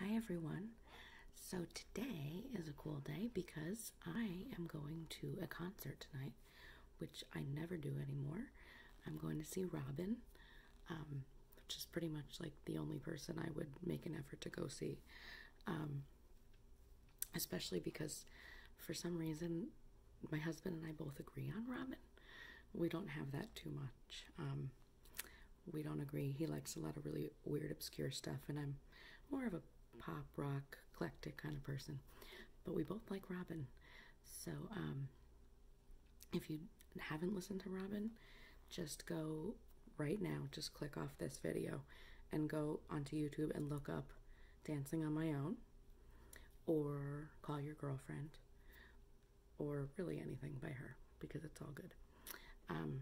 Hi everyone. So today is a cool day because I am going to a concert tonight, which I never do anymore. I'm going to see Robin, um, which is pretty much like the only person I would make an effort to go see. Um, especially because for some reason my husband and I both agree on Robin. We don't have that too much. Um, we don't agree. He likes a lot of really weird, obscure stuff, and I'm more of a pop rock, eclectic kind of person. But we both like Robin. So, um, if you haven't listened to Robin, just go right now, just click off this video and go onto YouTube and look up Dancing on My Own or Call Your Girlfriend or really anything by her because it's all good. Um,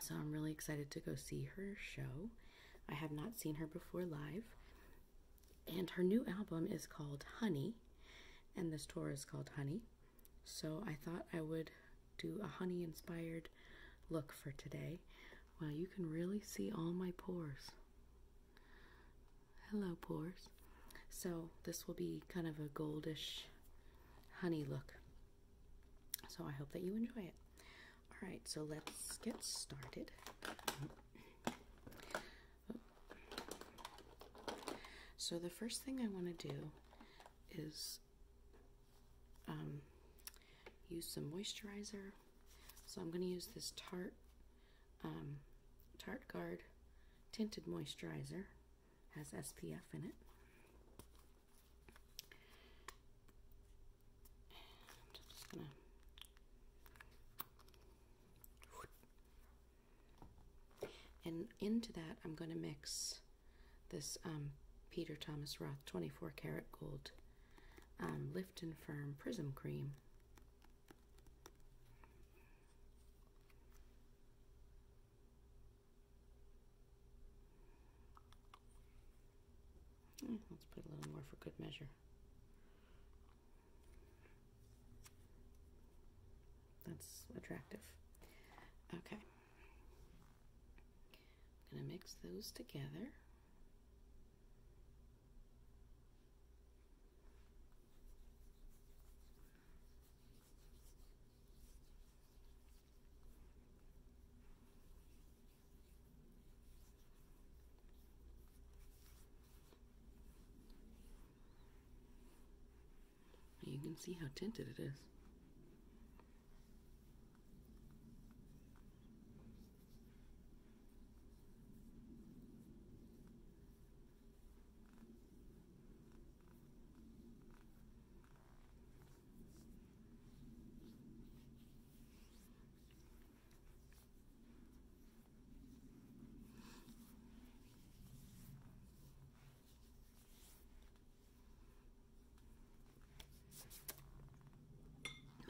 so I'm really excited to go see her show. I have not seen her before live. And her new album is called Honey, and this tour is called Honey. So I thought I would do a honey inspired look for today. Well, you can really see all my pores. Hello, pores. So this will be kind of a goldish honey look. So I hope that you enjoy it. All right, so let's get started. So the first thing I want to do is um, use some moisturizer. So I'm going to use this Tarte um, Tarte Guard Tinted Moisturizer has SPF in it. And into that I'm gonna mix this um, Peter Thomas Roth 24 karat gold um, lift and firm prism cream Eh, let's put a little more for good measure. That's attractive. Okay. I'm going to mix those together. You can see how tinted it is.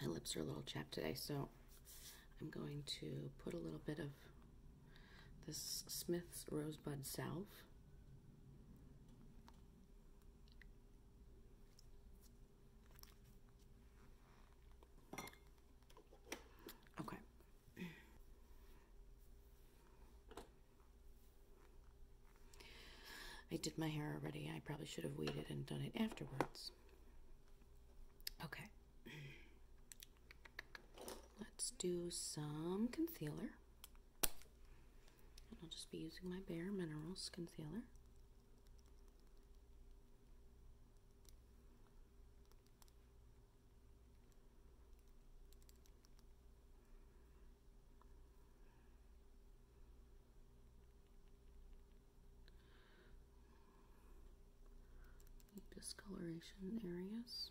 My lips are a little chapped today, so I'm going to put a little bit of this Smith's Rosebud Salve. Okay. I did my hair already. I probably should have waited and done it afterwards. Okay. Let's do some concealer. And I'll just be using my Bare Minerals concealer. discoloration areas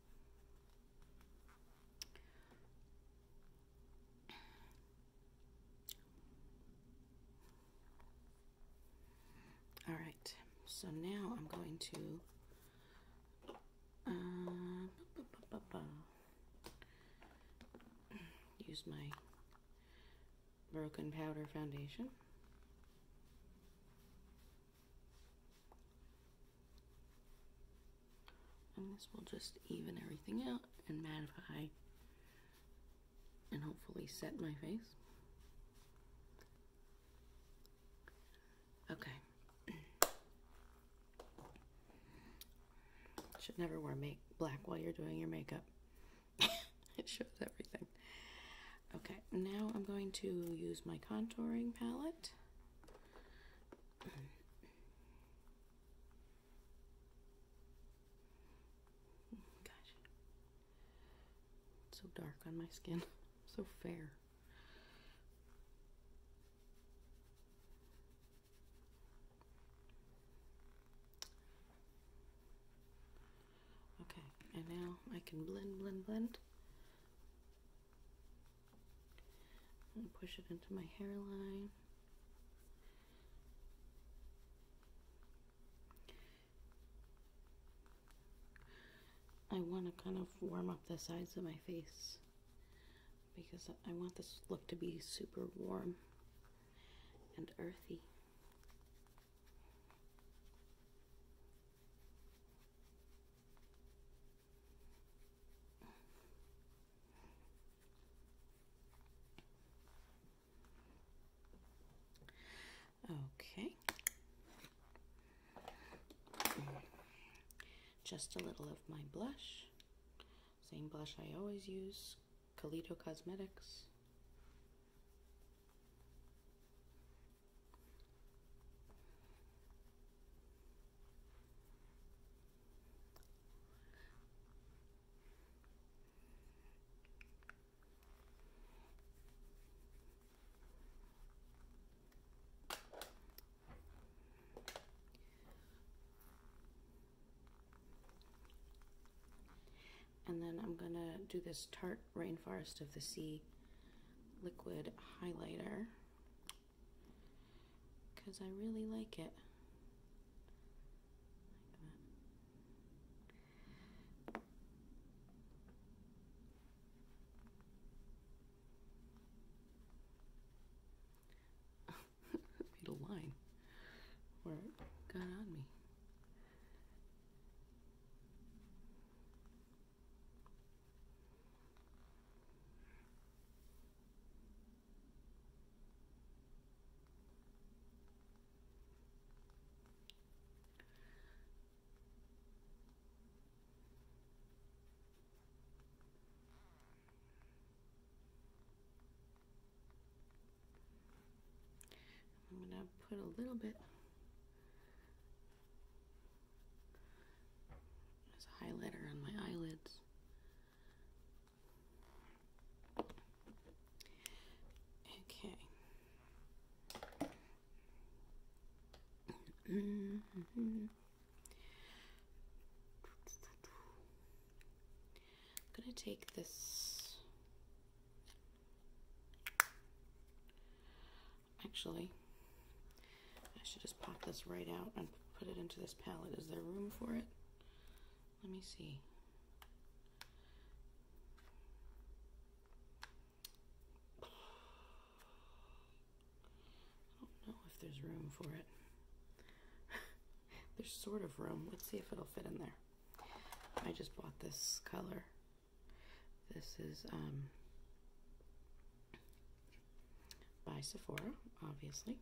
All right, so now I'm going to uh, use my broken powder foundation. And this will just even everything out and mattify and hopefully set my face. Okay. Should never wear make black while you're doing your makeup. it shows everything. Okay, now I'm going to use my contouring palette. Gosh. so dark on my skin. So fair. Okay, and now I can blend, blend, blend. I'm going to push it into my hairline. I want to kind of warm up the sides of my face because I want this look to be super warm and earthy. Okay. Just a little of my blush. Same blush I always use, Calito Cosmetics. And then I'm gonna do this Tarte Rainforest of the Sea liquid highlighter because I really like it. Like line. Where it got on me. I'm going to put a little bit there's a highlighter on my eyelids. Okay. I'm gonna take this Actually, I should just pop this right out and put it into this palette. Is there room for it? Let me see. I don't know if there's room for it. there's sort of room. Let's see if it'll fit in there. I just bought this color. This is um, by Sephora, obviously.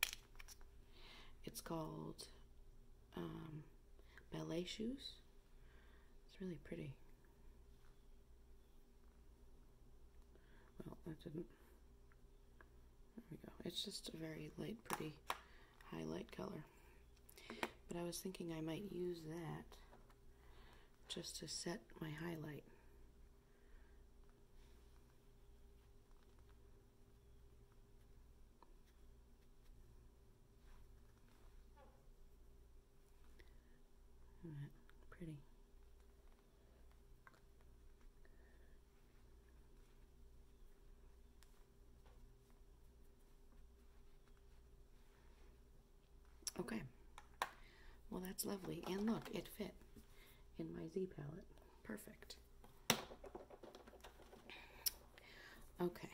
It's called um, Ballet Shoes. It's really pretty. Well, that didn't. There we go. It's just a very light, pretty highlight color. But I was thinking I might use that just to set my highlight. All right, pretty. Okay. Well, that's lovely. And look, it fit in my Z palette. Perfect. Okay.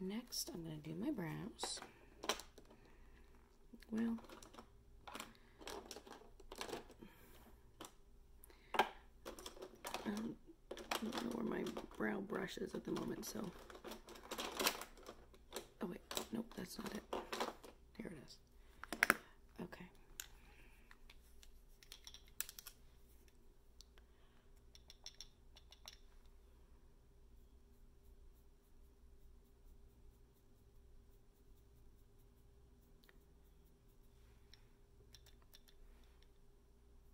Next, I'm going to do my brows. Well, um, I don't know where my brow brush is at the moment, so. Oh wait, nope, that's not it. There it is. Okay.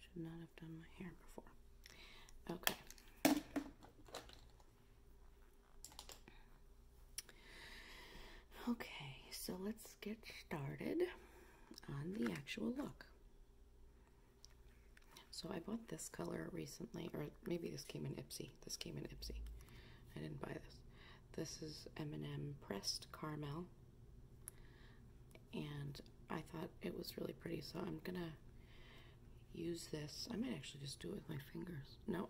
Should not have done my hair before. Okay. Okay, so let's get started on the actual look. So I bought this color recently, or maybe this came in Ipsy. This came in Ipsy. I didn't buy this. This is M&M Pressed Caramel. And I thought it was really pretty, so I'm gonna use this. I might actually just do it with my fingers. No,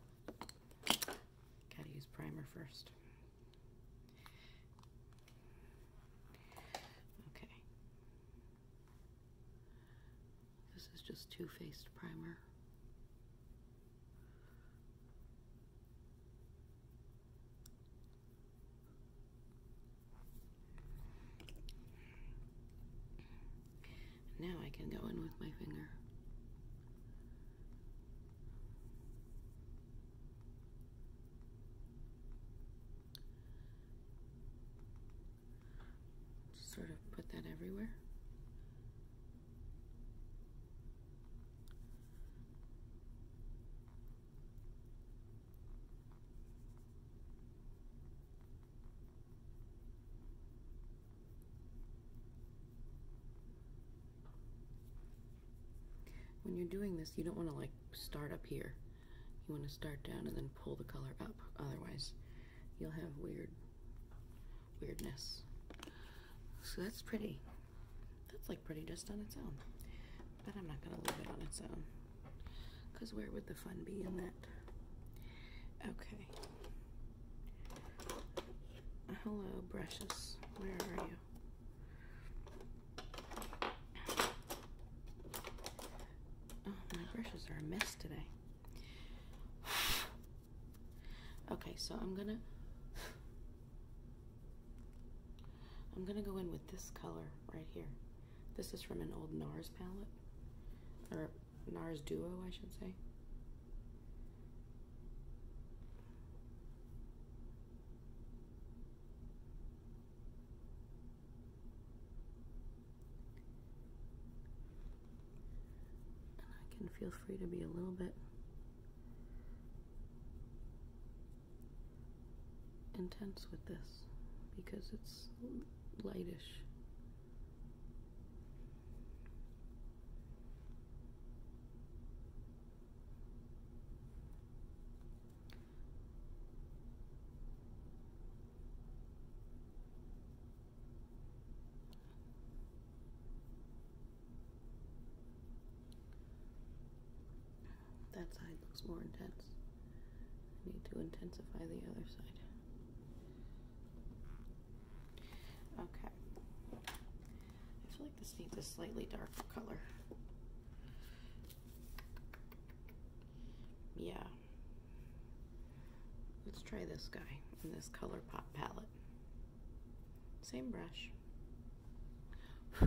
gotta use primer first. Okay. This is just Too Faced Primer. Now I can go in with my finger. Just sort of put that everywhere. When you're doing this, you don't want to like start up here. You want to start down and then pull the color up. Otherwise, you'll have weird weirdness. So that's pretty. That's like pretty just on its own. But I'm not gonna leave it on its own. Cause where would the fun be in that? Okay. Hello, brushes. Where are you? Oh, my brushes are a mess today. Okay, so I'm gonna I'm going to go in with this color right here. This is from an old NARS palette, or NARS Duo, I should say. And I can feel free to be a little bit intense with this because it's lightish. That side looks more intense. I need to intensify the other side. Okay. I feel like this needs a slightly darker color. Yeah. Let's try this guy in this color pop palette. Same brush.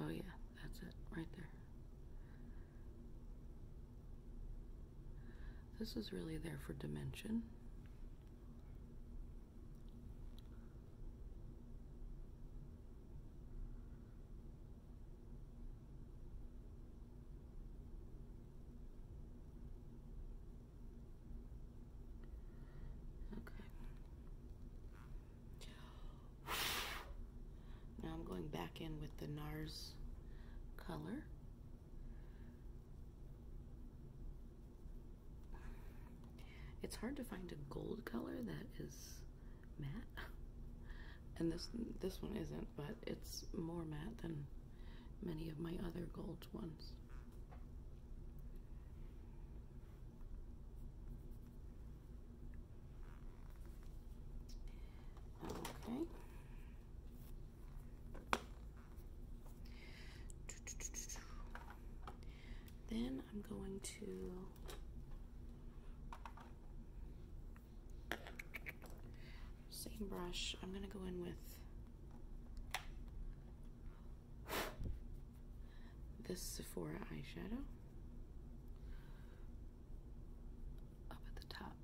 oh, yeah, that's it right there. This is really there for dimension. Okay. Now I'm going back in with the NARS color. It's hard to find a gold color that is matte. And this this one isn't, but it's more matte than many of my other gold ones. Okay. Then I'm going to same brush. I'm going to go in with this Sephora eyeshadow up at the top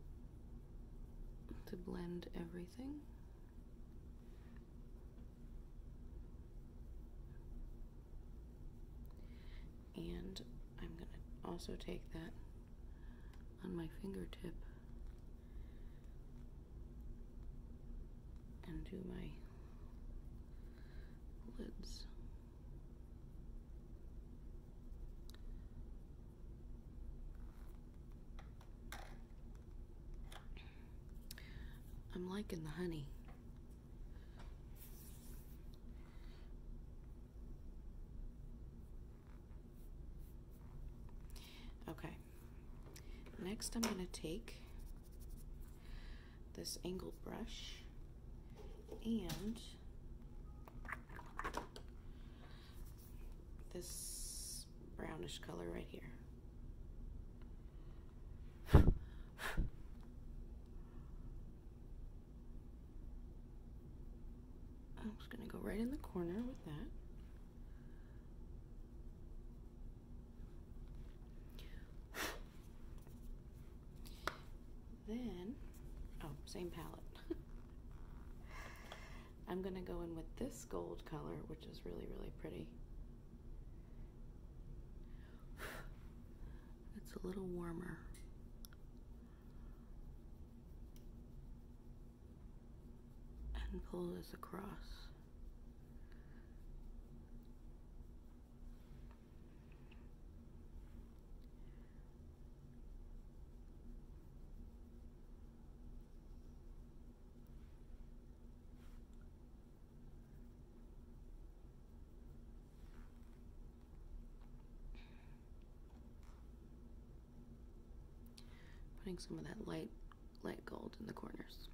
to blend everything. And I'm going to also take that on my fingertip and do my lids. I'm liking the honey. Okay, Next, I'm going to take this angled brush and this brownish color right here. I'm just going to go right in the corner with that then, oh, same palette. I'm going to go in with this gold color, which is really, really pretty. it's a little warmer and pull this across. Putting some of that light light gold in the corners.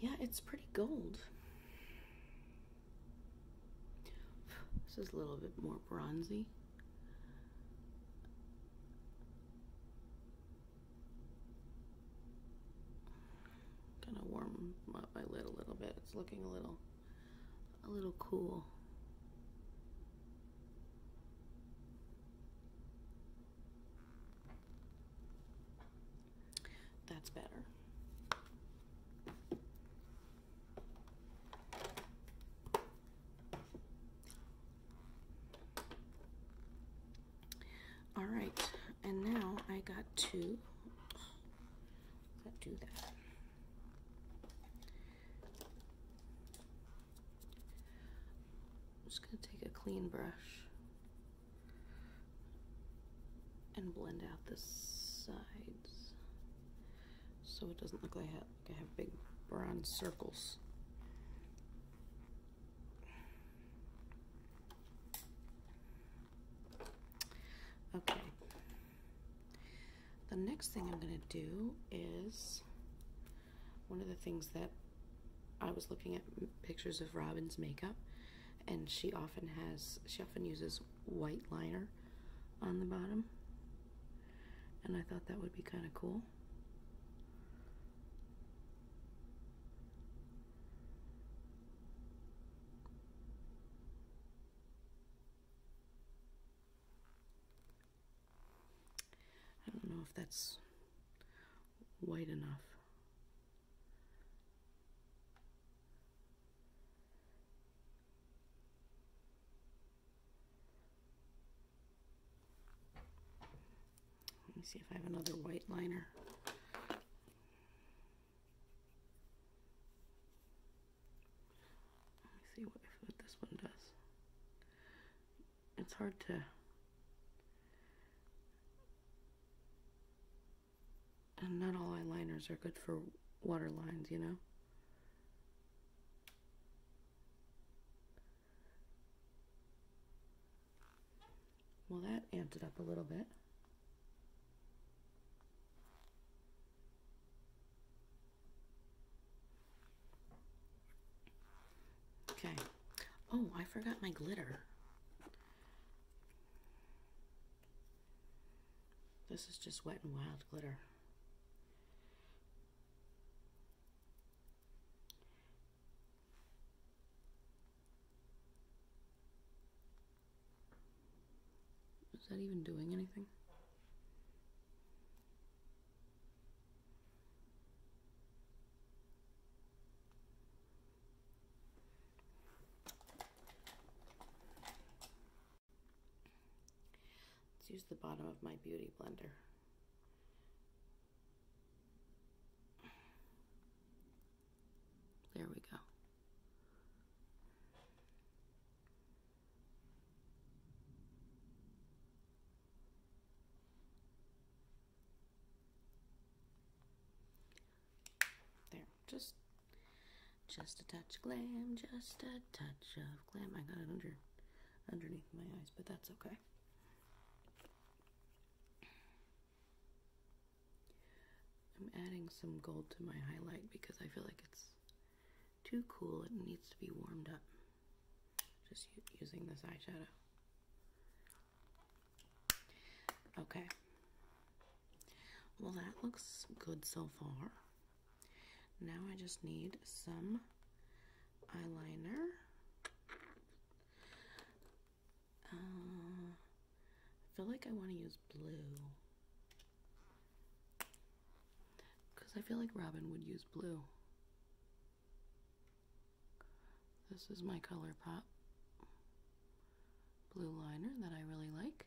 Yeah, it's pretty gold. This is a little bit more bronzy. Kind of warm up my lid a little bit. It's looking a little a little cool. That's better. All right, and now I got two I'm just going to take a clean brush and blend out the sides so it doesn't look like I have, like I have big bronze circles. Okay. The next thing I'm going to do is one of the things that I was looking at pictures of Robin's makeup and she often has she often uses white liner on the bottom and I thought that would be kind of cool. I don't know if that's white enough. Let me see if I have another white liner. Let me see what, this one does. It's hard to... And not all eyeliners are good for waterlines, you know? Well, that amped it up a little bit. Okay. Oh, I forgot my glitter. This is just wet and wild glitter. Is that even doing anything? Let's use the bottom of my beauty blender. There we go. There, just just a touch glam, just a touch of glam. I got it under underneath my eyes, but that's okay. I'm adding some gold to my highlight because I feel like it's too cool. It needs to be warmed up. Just using this eyeshadow. Okay. Well, that looks good so far. Now I just need some eyeliner. Uh, I feel like I want to use blue. Because I feel like Robin would use blue. This is my color pop blue liner that I really like.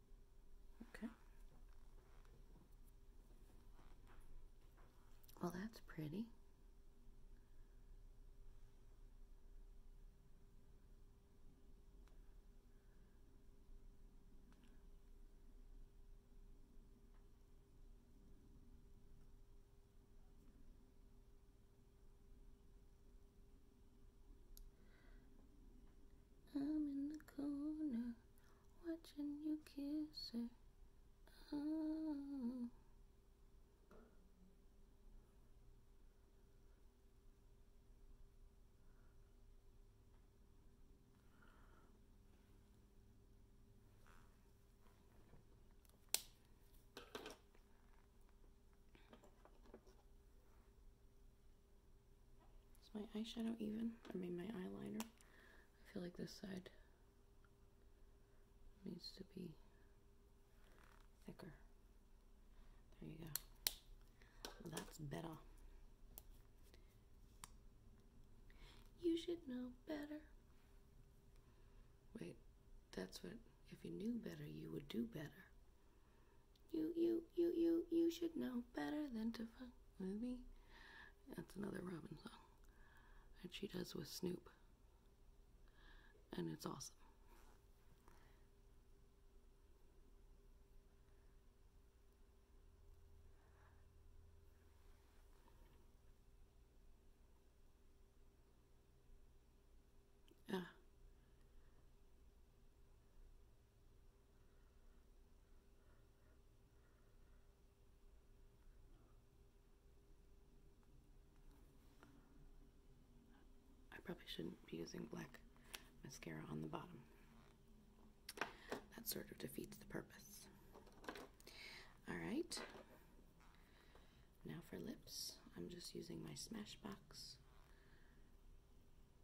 Okay. Well, that's pretty. I'm in the corner watching you kiss her. Oh. Is my eyeshadow even? I mean my eyeliner. I feel like this side needs to be thicker. There you go. That's better. You should know better. Wait, that's what, if you knew better, you would do better. You, you, you, you, you should know better than to fuck with me. That's another Robin song that she does with Snoop. And it's awesome. Ah. I probably shouldn't be using black mascara on the bottom. That sort of defeats the purpose. Alright. Now for lips, I'm just using my Smashbox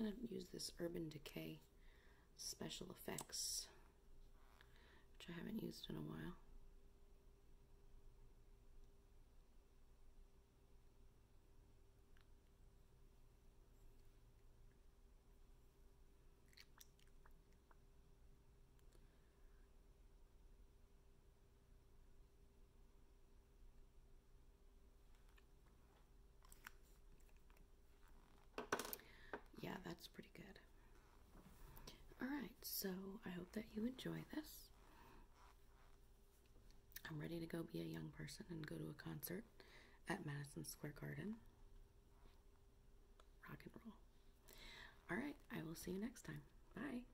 I am going to use this Urban Decay Special Effects, which I haven't used in a while. Yeah, that's pretty good. Alright, so I hope that you enjoy this. I'm ready to go be a young person and go to a concert at Madison Square Garden. Rock and roll. Alright, I will see you next time. Bye.